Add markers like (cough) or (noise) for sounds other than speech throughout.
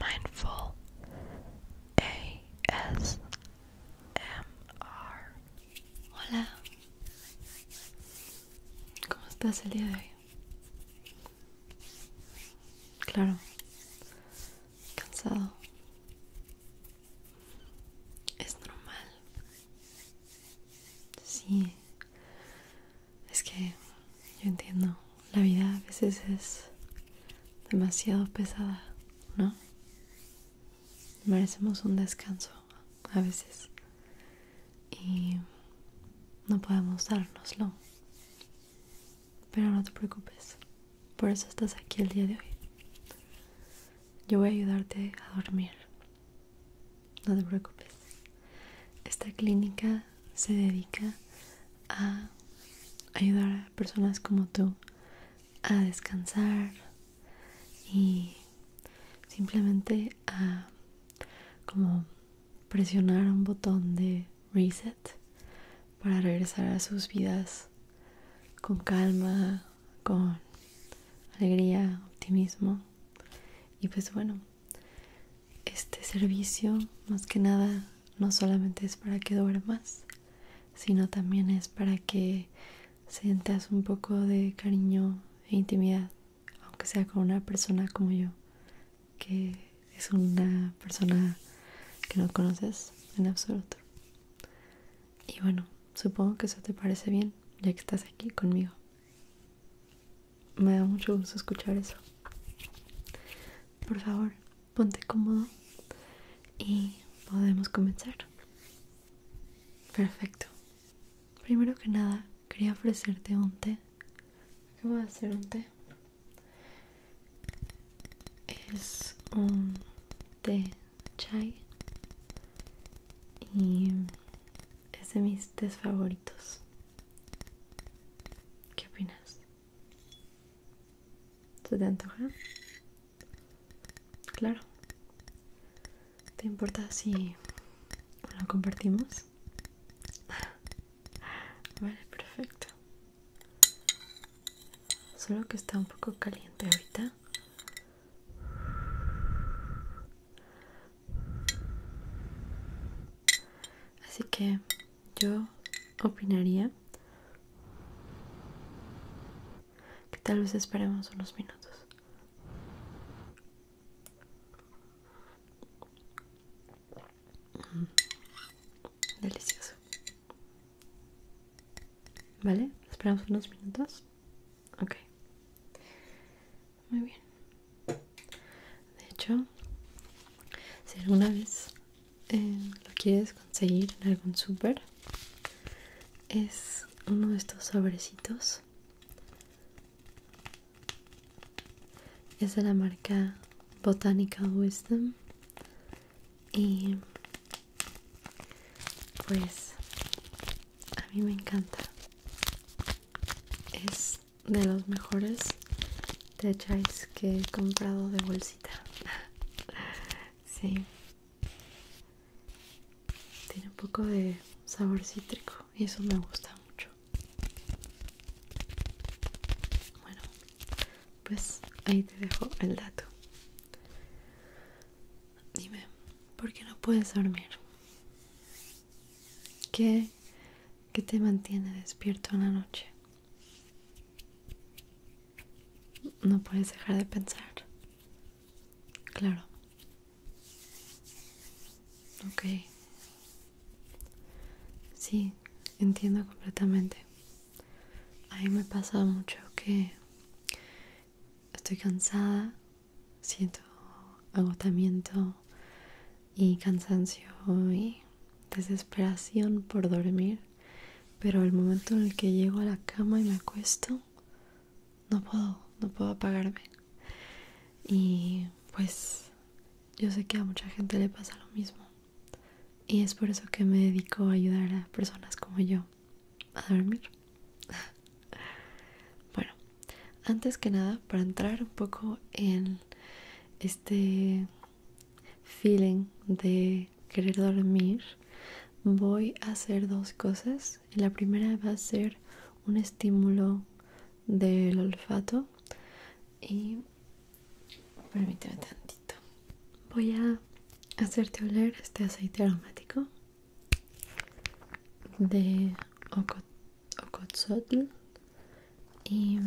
Mindful ASMR. Hola, ¿cómo estás el día de hoy? Claro, cansado. Es normal. Sí, es que yo entiendo la vida a veces es demasiado pesada, ¿no? Merecemos un descanso a veces y no podemos dárnoslo. Pero no te preocupes, por eso estás aquí el día de hoy. Yo voy a ayudarte a dormir. No te preocupes. Esta clínica se dedica a ayudar a personas como tú a descansar y simplemente a como presionar un botón de reset para regresar a sus vidas con calma, con alegría, optimismo. Y pues bueno, este servicio más que nada no solamente es para que duermas, sino también es para que sientas un poco de cariño e intimidad, aunque sea con una persona como yo, que es una persona que no conoces en absoluto. Y bueno, supongo que eso te parece bien, ya que estás aquí conmigo me da mucho gusto escuchar eso. Por favor, ponte cómodo y podemos comenzar. Perfecto. Primero que nada, quería ofrecerte un té. Acabo de hacer un té. Es un té chai y es de mis tés favoritos. ¿Qué opinas? ¿Se te antoja? Claro. ¿Te importa si lo compartimos? (laughs) Vale, perfecto. Solo que está un poco caliente ahorita. Así que yo opinaría que tal vez esperemos unos minutos. Mm. Delicioso. ¿Vale? Esperamos unos minutos. Ok muy bien de hecho si alguna vez eh, lo quieres conseguir en algún super es uno de estos sobrecitos es de la marca Botanical Wisdom y pues a mí me encanta es de los mejores techais que he comprado de bolsita. (laughs) sí. Tiene un poco de sabor cítrico y eso me gusta mucho. Bueno, pues ahí te dejo el dato. Dime, ¿por qué no puedes dormir? ¿Qué que te mantiene despierto en la noche. No puedes dejar de pensar. Claro. Ok. Sí, entiendo completamente. A mí me pasa mucho que estoy cansada, siento agotamiento, y cansancio y desesperación por dormir, pero el momento en el que llego a la cama y me acuesto, no puedo, no puedo apagarme. Y pues yo sé que a mucha gente le pasa lo mismo. Y es por eso que me dedico a ayudar a personas como yo a dormir. (laughs) bueno, antes que nada, para entrar un poco en este feeling de querer dormir, voy a hacer dos cosas. La primera va a ser un estímulo del olfato y permíteme tantito. Voy a hacerte oler este aceite aromático de o Ocotzotl y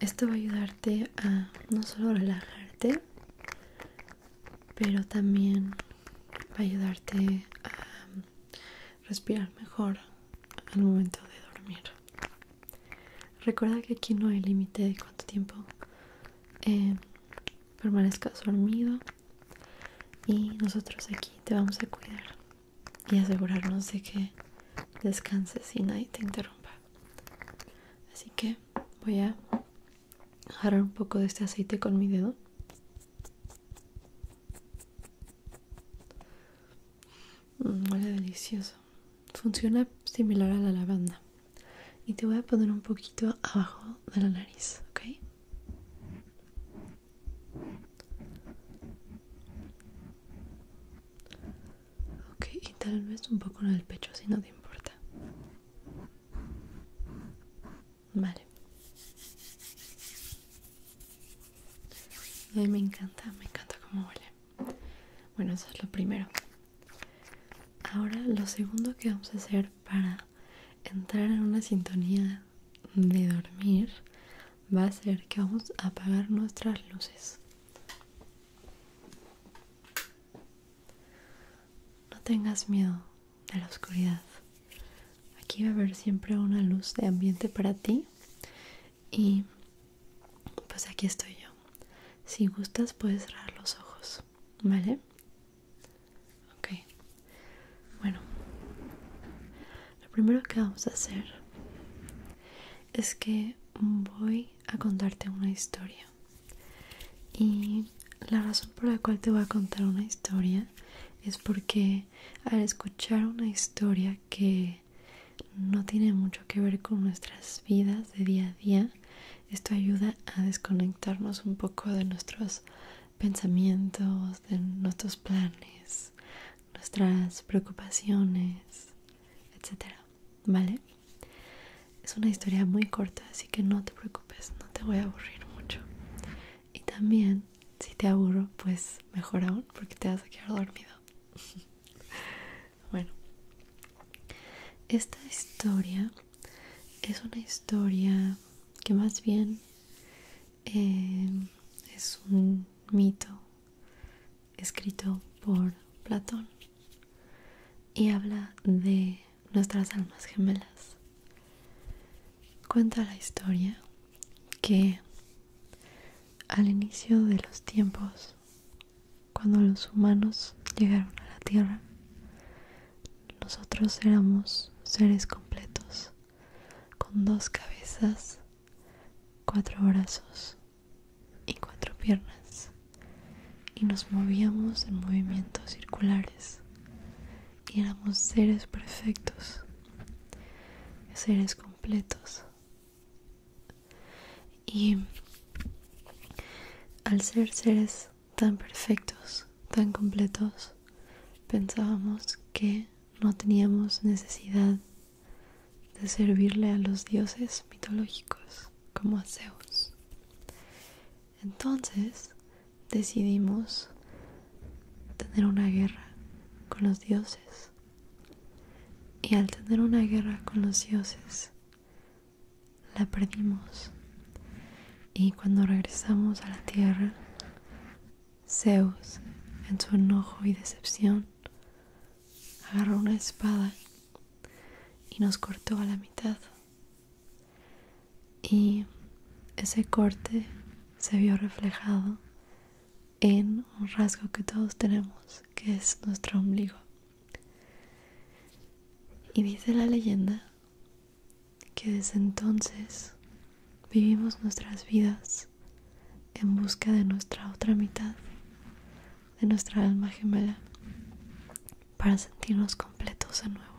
esto va a ayudarte a no solo relajarte pero también va a ayudarte a respirar mejor al momento de dormir recuerda que aquí no hay límite de cuánto tiempo eh, permanezcas dormido y nosotros aquí te vamos a cuidar y asegurarnos de que descanses y nadie te interrumpa así que voy a agarrar un poco de este aceite con mi dedo mm, huele delicioso funciona similar a la lavanda y te voy a poner un poquito abajo de la nariz ok Ok, y tal vez un poco en el pecho si no te importa. Vale. me encanta, me encanta cómo huele. Bueno, eso es lo primero. Ahora lo segundo que vamos a hacer para entrar en una sintonía de dormir va a ser que vamos a apagar nuestras luces. No tengas miedo de la oscuridad. Aquí va a haber siempre una luz de ambiente para ti. Y pues aquí estoy yo. Si gustas puedes cerrar los ojos, ¿vale? Ok, bueno, lo primero que vamos a hacer es que voy a contarte una historia. Y la razón por la cual te voy a contar una historia es porque al escuchar una historia que no tiene mucho que ver con nuestras vidas de día a día, esto ayuda a desconectarnos un poco de nuestros pensamientos, de nuestros planes, nuestras preocupaciones, etcétera, ¿vale? Es una historia muy corta, así que no te preocupes, no te voy a aburrir mucho. Y también, si te aburro, pues mejor aún, porque te vas a quedar dormido. (laughs) bueno, esta historia es una historia que más bien eh, es un mito escrito por Platón y habla de nuestras almas gemelas. Cuenta la historia que al inicio de los tiempos, cuando los humanos llegaron a la Tierra, nosotros éramos seres completos, con dos cabezas, cuatro brazos y cuatro piernas, y nos movíamos en movimientos circulares, y éramos seres perfectos, seres completos. Y al ser seres tan perfectos, tan completos, pensábamos que no teníamos necesidad de servirle a los dioses mitológicos como a Zeus. Entonces decidimos tener una guerra con los dioses. Y al tener una guerra con los dioses, la perdimos. Y cuando regresamos a la tierra, Zeus, en su enojo y decepción, agarró una espada y nos cortó a la mitad. Y ese corte se vio reflejado en un rasgo que todos tenemos, que es nuestro ombligo. Y dice la leyenda que desde entonces vivimos nuestras vidas en busca de nuestra otra mitad, de nuestra alma gemela, para sentirnos completos de nuevo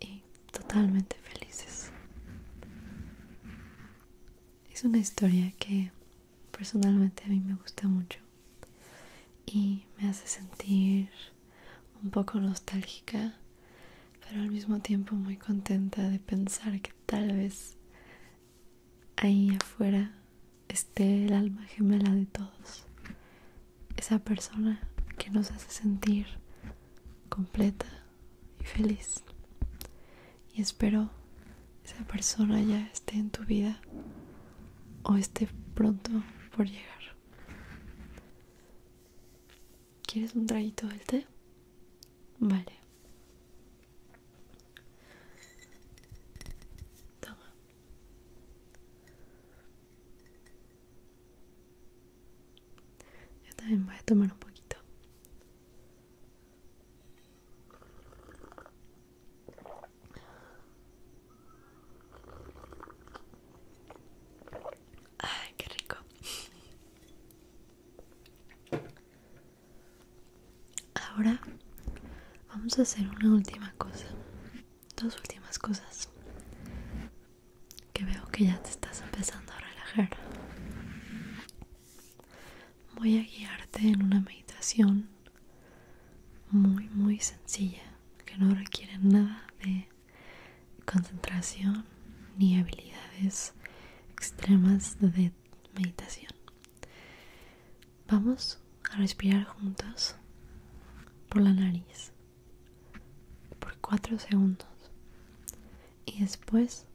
y totalmente felices. Es una historia que personalmente a mí me gusta mucho y me hace sentir un poco nostálgica, pero al mismo tiempo muy contenta de pensar que tal vez ahí afuera esté el alma gemela de todos. Esa persona que nos hace sentir completa y feliz. Y espero esa persona ya esté en tu vida o esté pronto por llegar. ¿Quieres un traguito del té? Vale. Toma. Yo también voy a tomar un poquito. Ay, qué rico. Ahora vamos a hacer una última cosa. Dos últimas cosas. Que veo que ya te estás empezando a relajar. Voy a guiarte en una meditación muy muy sencilla que no requiere nada de concentración ni habilidades extremas de meditación vamos a respirar juntos por la nariz por cuatro segundos y después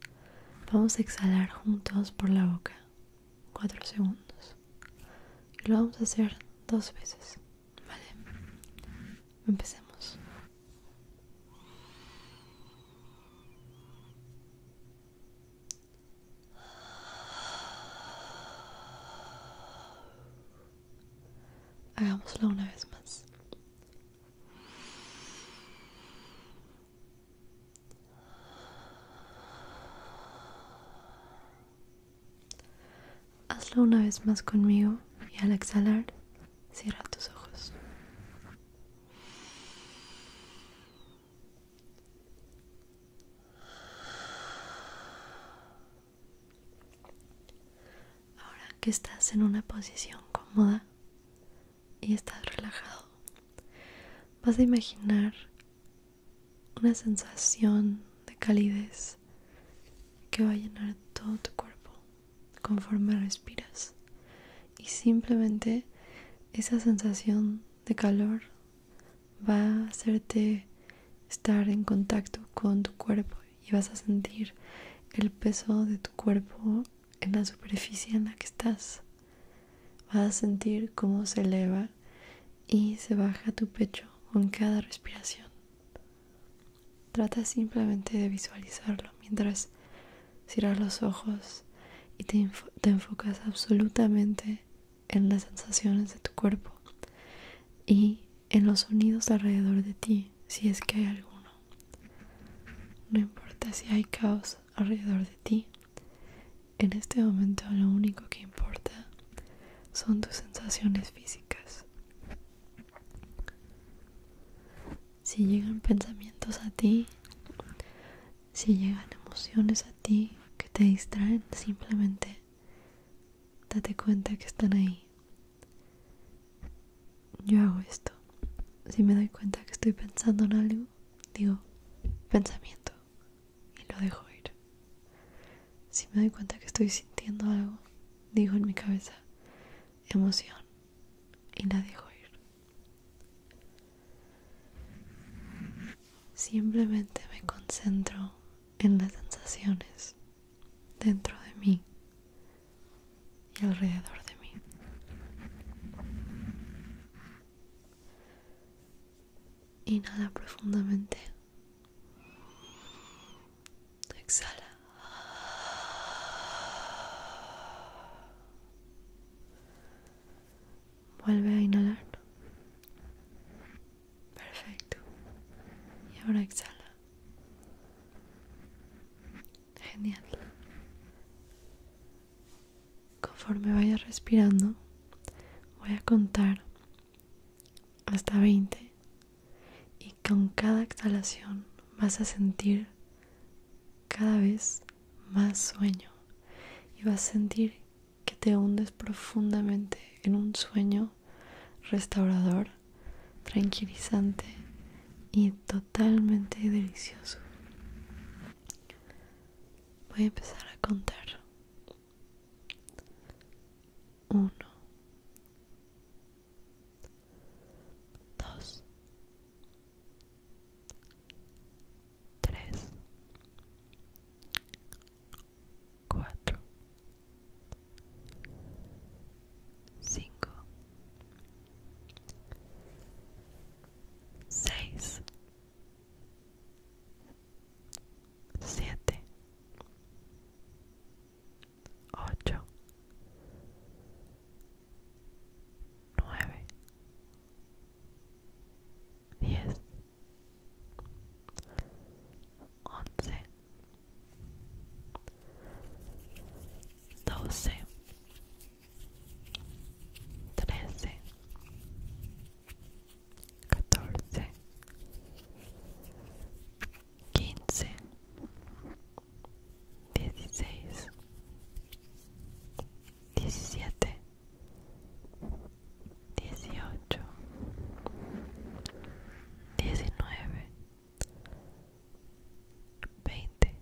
vamos a exhalar juntos por la boca cuatro segundos y lo vamos a hacer dos veces vale empecemos hagámoslo una vez más Hazlo una vez más conmigo y al exhalar cierra tus ojos. Ahora que estás en una posición cómoda y estás relajado, vas a imaginar una sensación de calidez que va a llenar todo tu cuerpo conforme respiras y simplemente esa sensación de calor va a hacerte estar en contacto con tu cuerpo y vas a sentir el peso de tu cuerpo en la superficie en la que estás. Vas a sentir cómo se eleva y se baja tu pecho con cada respiración. Trata simplemente de visualizarlo mientras cierras los ojos y te enfocas absolutamente en las sensaciones de tu cuerpo y en los sonidos alrededor de ti, si es que hay alguno. No importa si hay caos alrededor de ti, en este momento lo único que importa son tus sensaciones físicas. Si llegan pensamientos a ti, si llegan emociones a ti que te distraen, simplemente date cuenta que están ahí. Yo hago esto. Si me doy cuenta que estoy pensando en algo, digo pensamiento y lo dejo ir. Si me doy cuenta que estoy sintiendo algo, digo en mi cabeza emoción y la dejo ir. Simplemente me concentro en las sensaciones dentro de mí y alrededor de mí. Inhala profundamente. Exhala. Vuelve a inhalar. Perfecto. Y ahora exhala. Genial conforme vayas respirando, voy a contar hasta 20 y con cada exhalación vas a sentir cada vez más sueño y vas a sentir que te hundes profundamente en un sueño restaurador, tranquilizante y totalmente delicioso voy a empezar a contar. Uno, dos, tres, cuatro, cinco, seis siete, ocho, nueve, diez, once, doce, trece, catorce, quince, dieciséis, diecisiete, dieciocho, diecinueve, veinte.